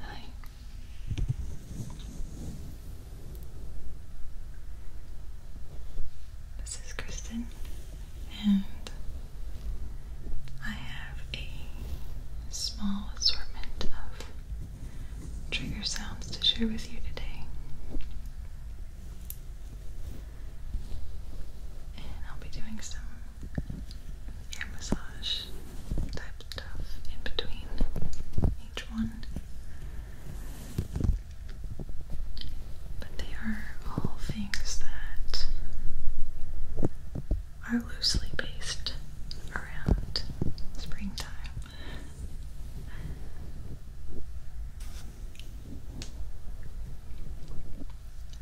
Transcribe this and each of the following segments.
Hi. This is Kristen, and I have a small assortment of trigger sounds to share with you today. And I'll be doing some air massage type stuff in between each one. But they are all things that are loosely based around springtime.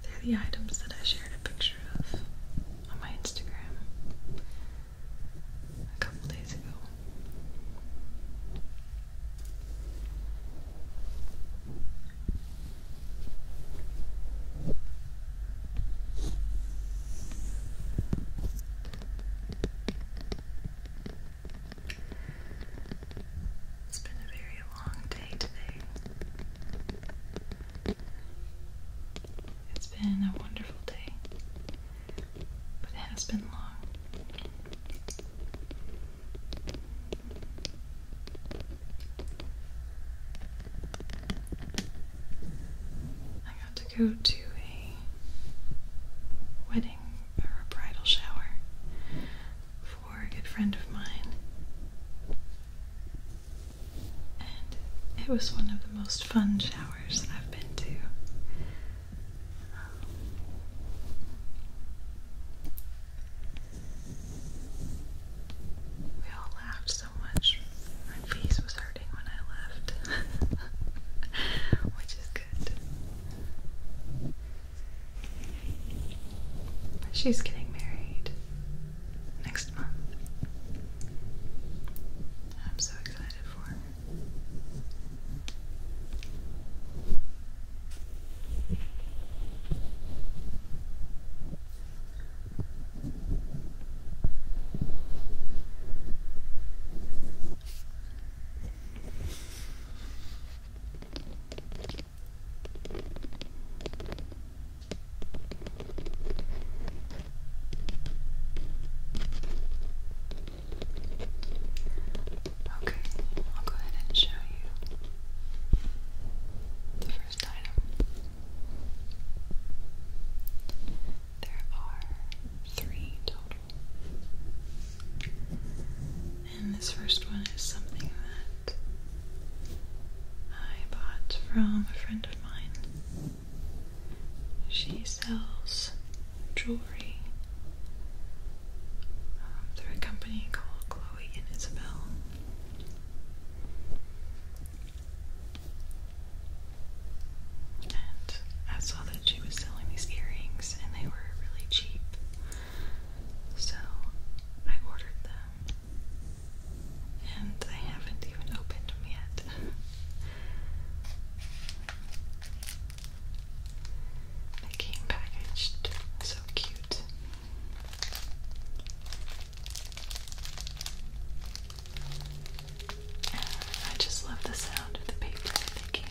They're the items that I shared a picture of on my Instagram a couple days ago. It's been a very long day today. It's been a wonderful day, but it has been long got to go to a wedding or a bridal shower for a good friend of mine. And it was one of the most fun showers I've been to. we all laughed so much. My face was hurting when I left, which is She's getting married next month. I'm so excited for Okay, I'll go ahead and show you the first item. There are three total. And this first one is something that I bought from a friend of mine. She sells jewelry um, through a company called Chloe and Isabel. And I saw that she was selling these earrings and they were really cheap. So I ordered them. And I haven't even opened them yet. they came packaged so cute. I just love the sound of the paper they came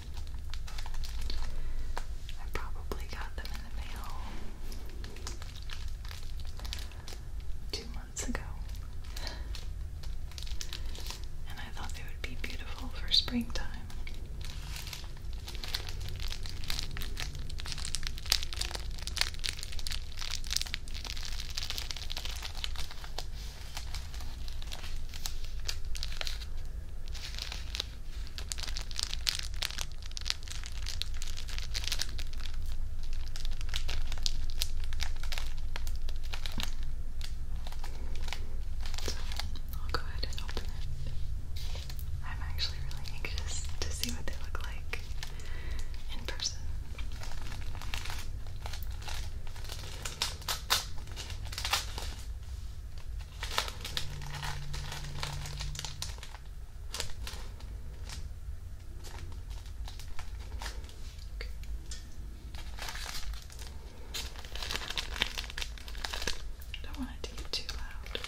I probably got them in the mail two months ago. And I thought they would be beautiful for springtime. I'll go ahead and open it. I'm actually really anxious to see what they look like in person. Okay. Don't want it to get too loud. Okay.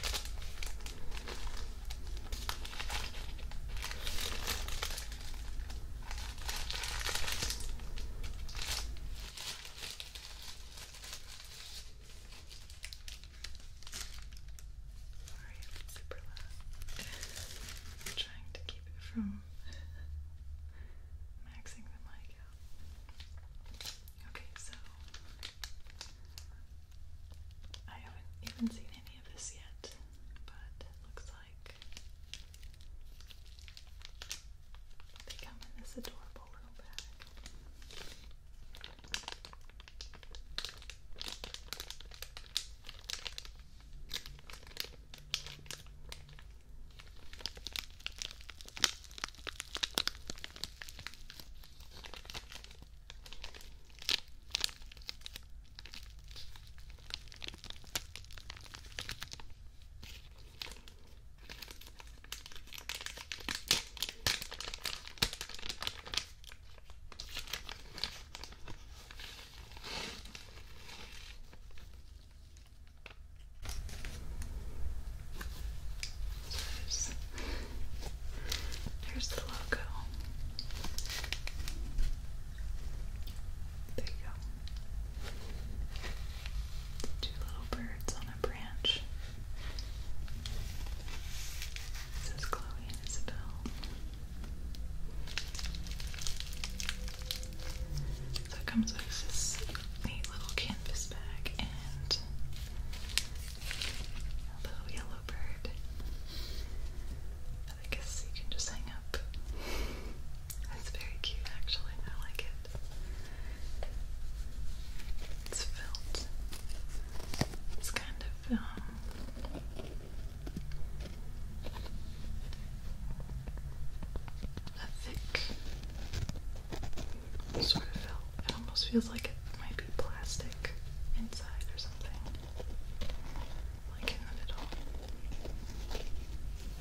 Sorry, super loud. i trying to keep it from maxing the mic out. Okay, so I haven't even seen any of this yet, but looks like they come in this adorable a little bag. All there's, there's the logo. There you go. Two little birds on a branch. It says Chloe Isabel. So it comes with this neat little canvas bag and a little yellow bird. I guess you can just hang up. That's very cute, actually. I like it. It's felt. It's kind of um, a thick sort of felt. It almost feels like it might be plastic inside or something, like in the middle.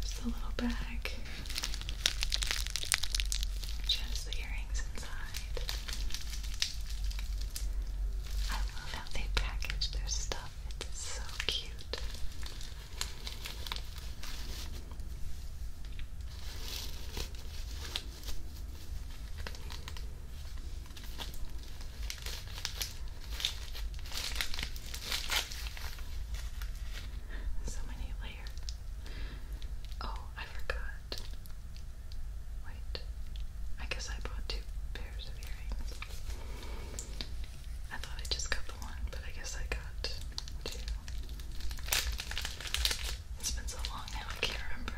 just the little bag which the earrings inside. I love how they package their stuff. It's so cute. So many Oh, I forgot. Wait. I guess I bought two pairs of earrings. I thought I just got the one, but I guess I got two. It's been so long I can't remember.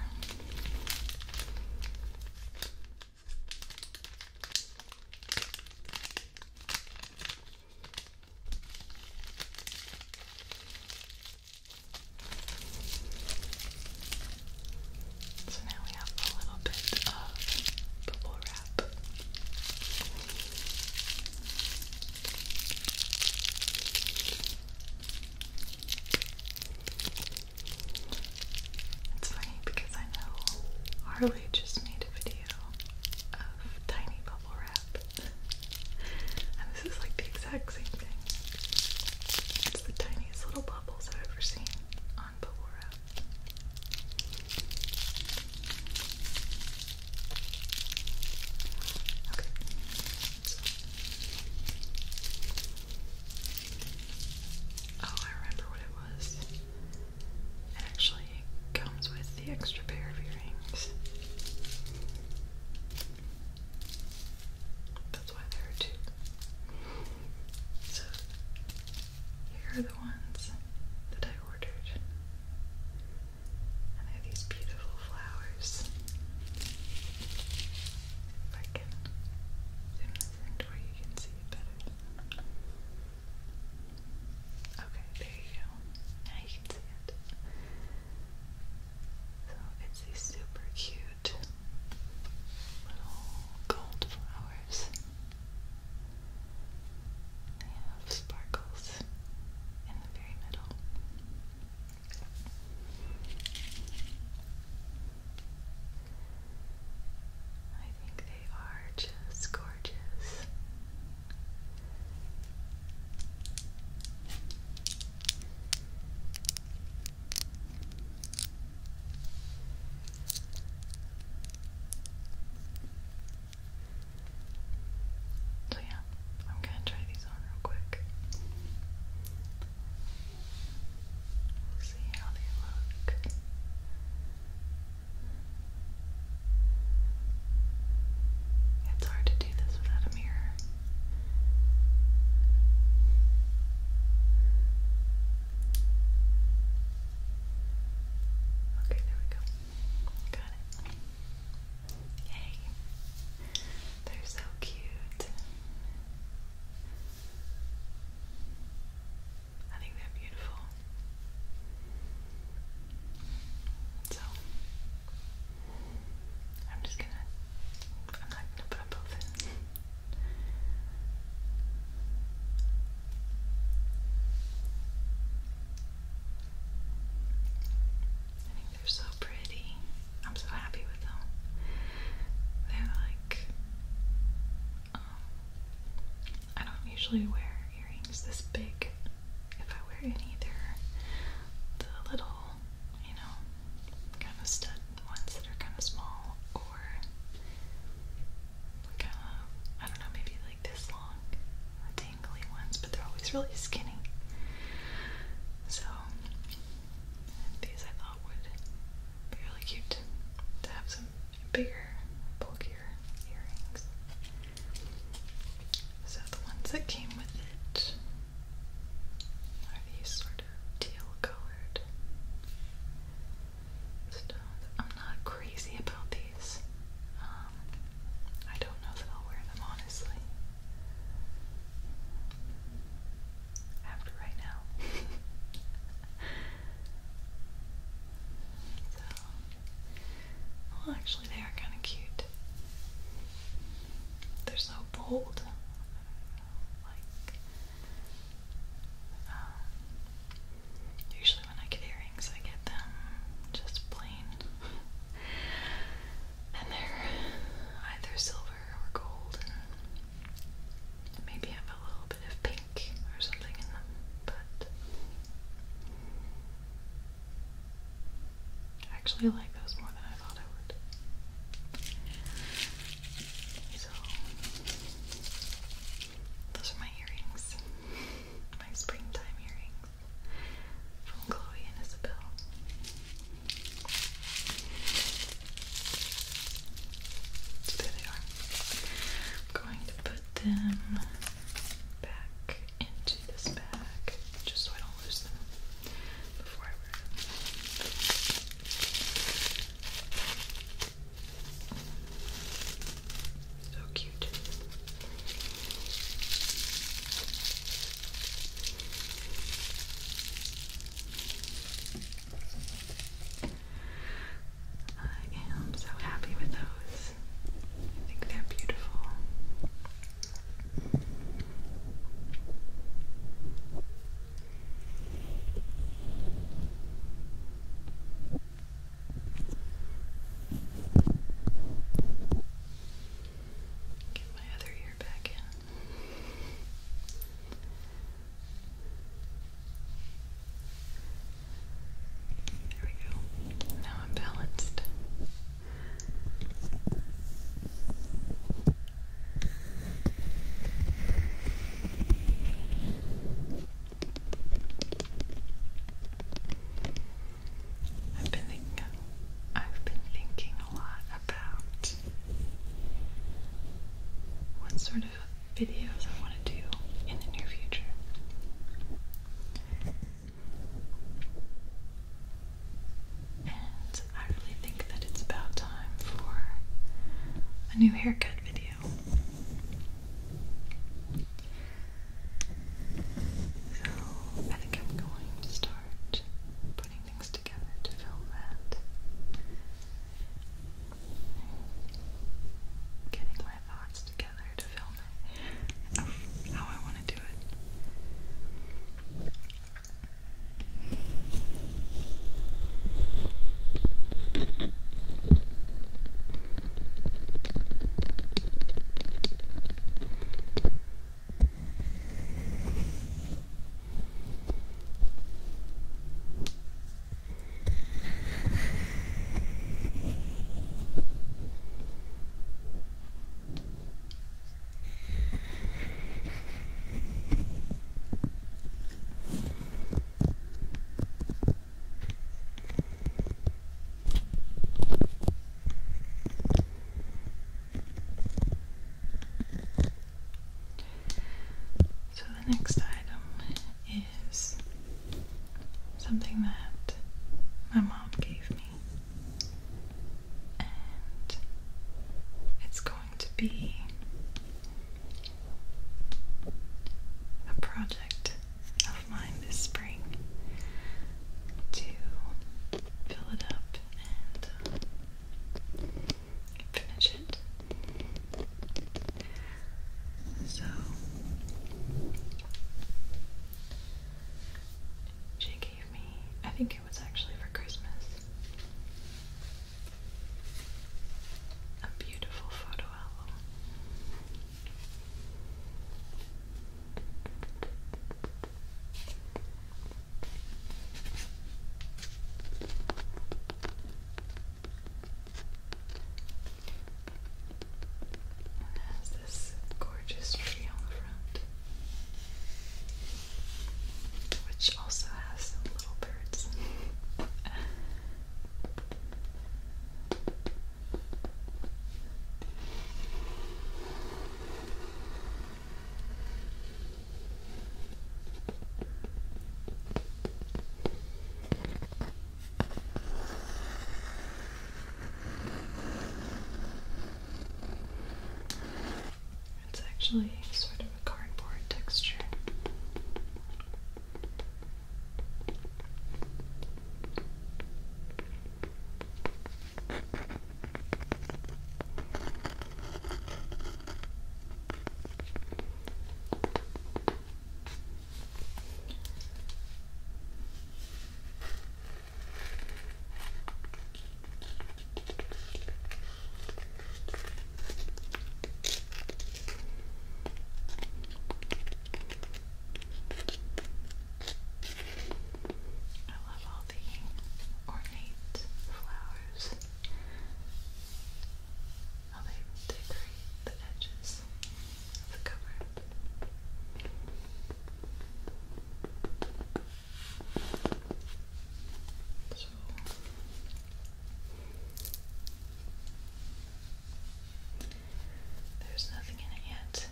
So now we have a little bit of bubble wrap. It's funny because I know Harley just made a video of tiny bubble wrap and this is like the exact same thing. It's the tiniest little bubbles I've ever seen on bubble Oh, I remember what it was. It actually comes with the extra pair of earrings. That's why there are two. So, here are the ones that I ordered. And they're these beautiful flowers. If I can zoom this in where you can see it better. Okay, there you go. Now you can see it. So it's these super cute little gold flowers. They have sparkles in the very middle. I think they are just gorgeous. So, yeah, I'm gonna try these on real quick. We'll see how they look. It's hard to do this without a mirror. Okay, there we go. Got it. Yay. They're so cute. I think they're beautiful. So, I'm just gonna, I'm not gonna put them both in. I think they're so pretty. I'm so happy with them. They're like, um, I don't usually wear earrings this big if I wear any. the little, you know, kind of stud ones that are kind of small or kind of, uh, I don't know, maybe like this long, dangly ones, but they're always really skinny. So, these I thought would be really cute to have some bigger, bulkier earrings. So the ones that came with it are these sort of teal colored stones. I'm not crazy about these. Um, I don't know that I'll wear them honestly. After right now. Well, actually, they are kind of cute. They're so bold. Like, um, usually when I get earrings, I get them just plain, and they're either silver or gold, and maybe have a little bit of pink or something in them, but. I actually like those more than I thought I would. So, those are my earrings. My springtime earrings from Chloe and Isabel. So there they are. I'm going to put them back into this bag just so I don't lose them before I wear them. So cute. I am so happy with those. I think they're beautiful. Get my other ear back in. There we go. Now I'm balanced. I've been thinking I've been thinking a lot about what sort of videos I want to do in the near future. And I really think that it's about time for a new haircut video. So I think I'm going to start putting things together to film that. Getting my thoughts together to film how I want to do it. So, the next item is something that my mom gave me it's going to be a project of mine this spring to fill it up and uh, finish it. So, JK gave me. I think it was actually for Christmas. A beautiful photo album. It has this gorgeous tree on the which also has some little birds. It's actually sort of a cardboard texture. I love all the ornate flowers. How they decorate the edges of the cover there's nothing in it yet,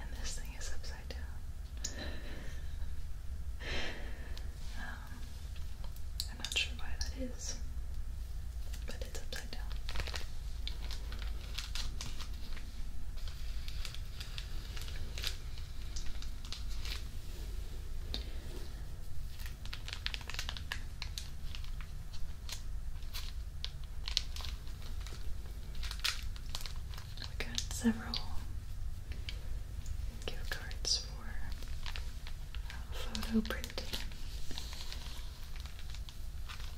and this thing is upside down. Um, I'm not sure why that is, but it's upside down. We got several gift cards for uh, photo printing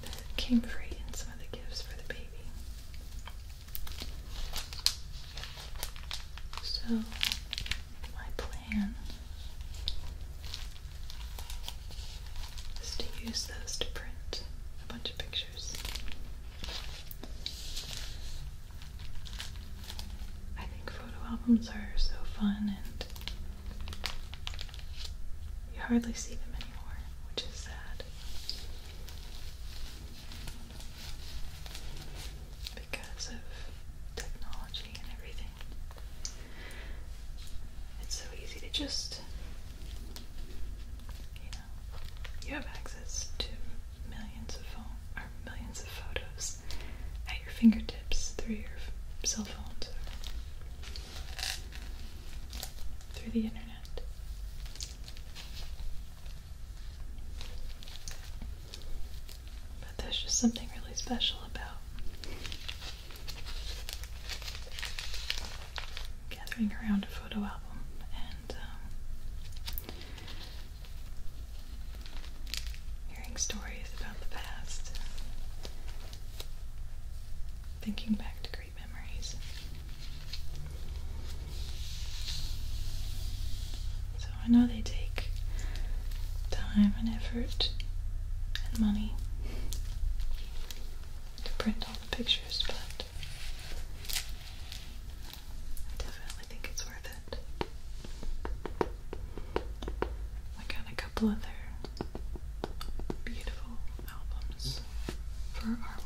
that came free in some of the gifts for the baby. So, my plan is to use those to print a bunch of pictures. I think photo albums are so fun and you hardly see them anymore, which is sad because of technology and everything. It's so easy to just, you know, you have access to millions of photos at your fingertips through your cell phone or through the internet. But there's just something really special about gathering around a photo album and um, hearing stories about the past, thinking back to so I know they take time and effort and money to print all the pictures, but I definitely think it's worth it. I got a couple other beautiful albums for our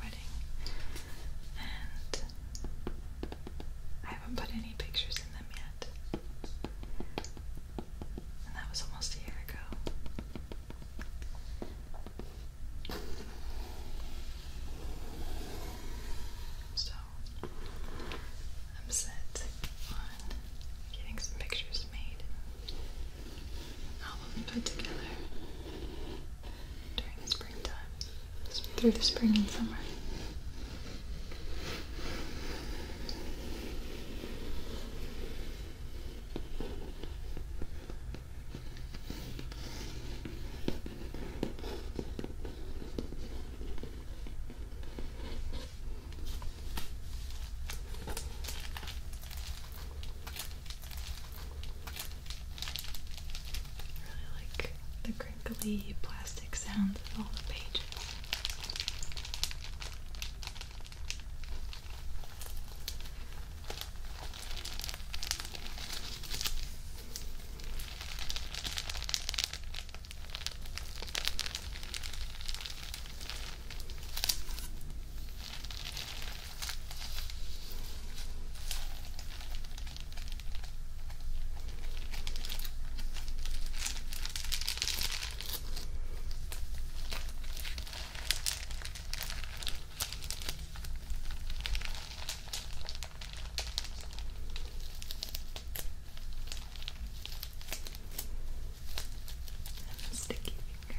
I haven't put any pictures in them yet. And that was almost a year ago. So, I'm set on getting some pictures made. Album put together during the springtime, through the spring and summer. Really like the crinkly plastic sounds of all the pages. Sticky fingers.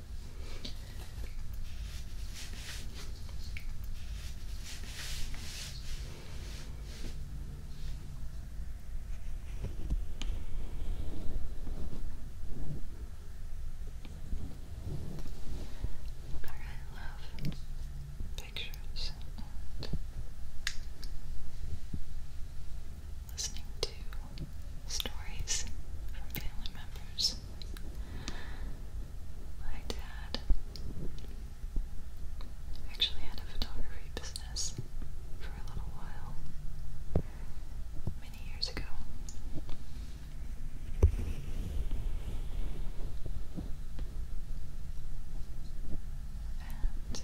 I love pictures and listening to stories from family members. My dad actually had a photography business for a little while many years ago. And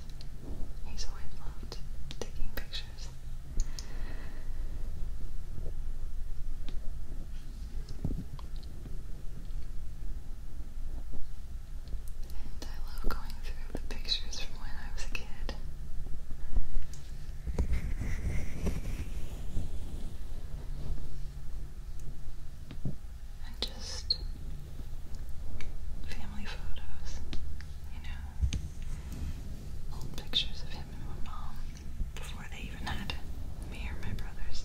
he's always loved taking pictures pictures. And I love going through the pictures from when I was a kid. And just family photos, you know, old pictures of him and my mom before they even had me or my brothers.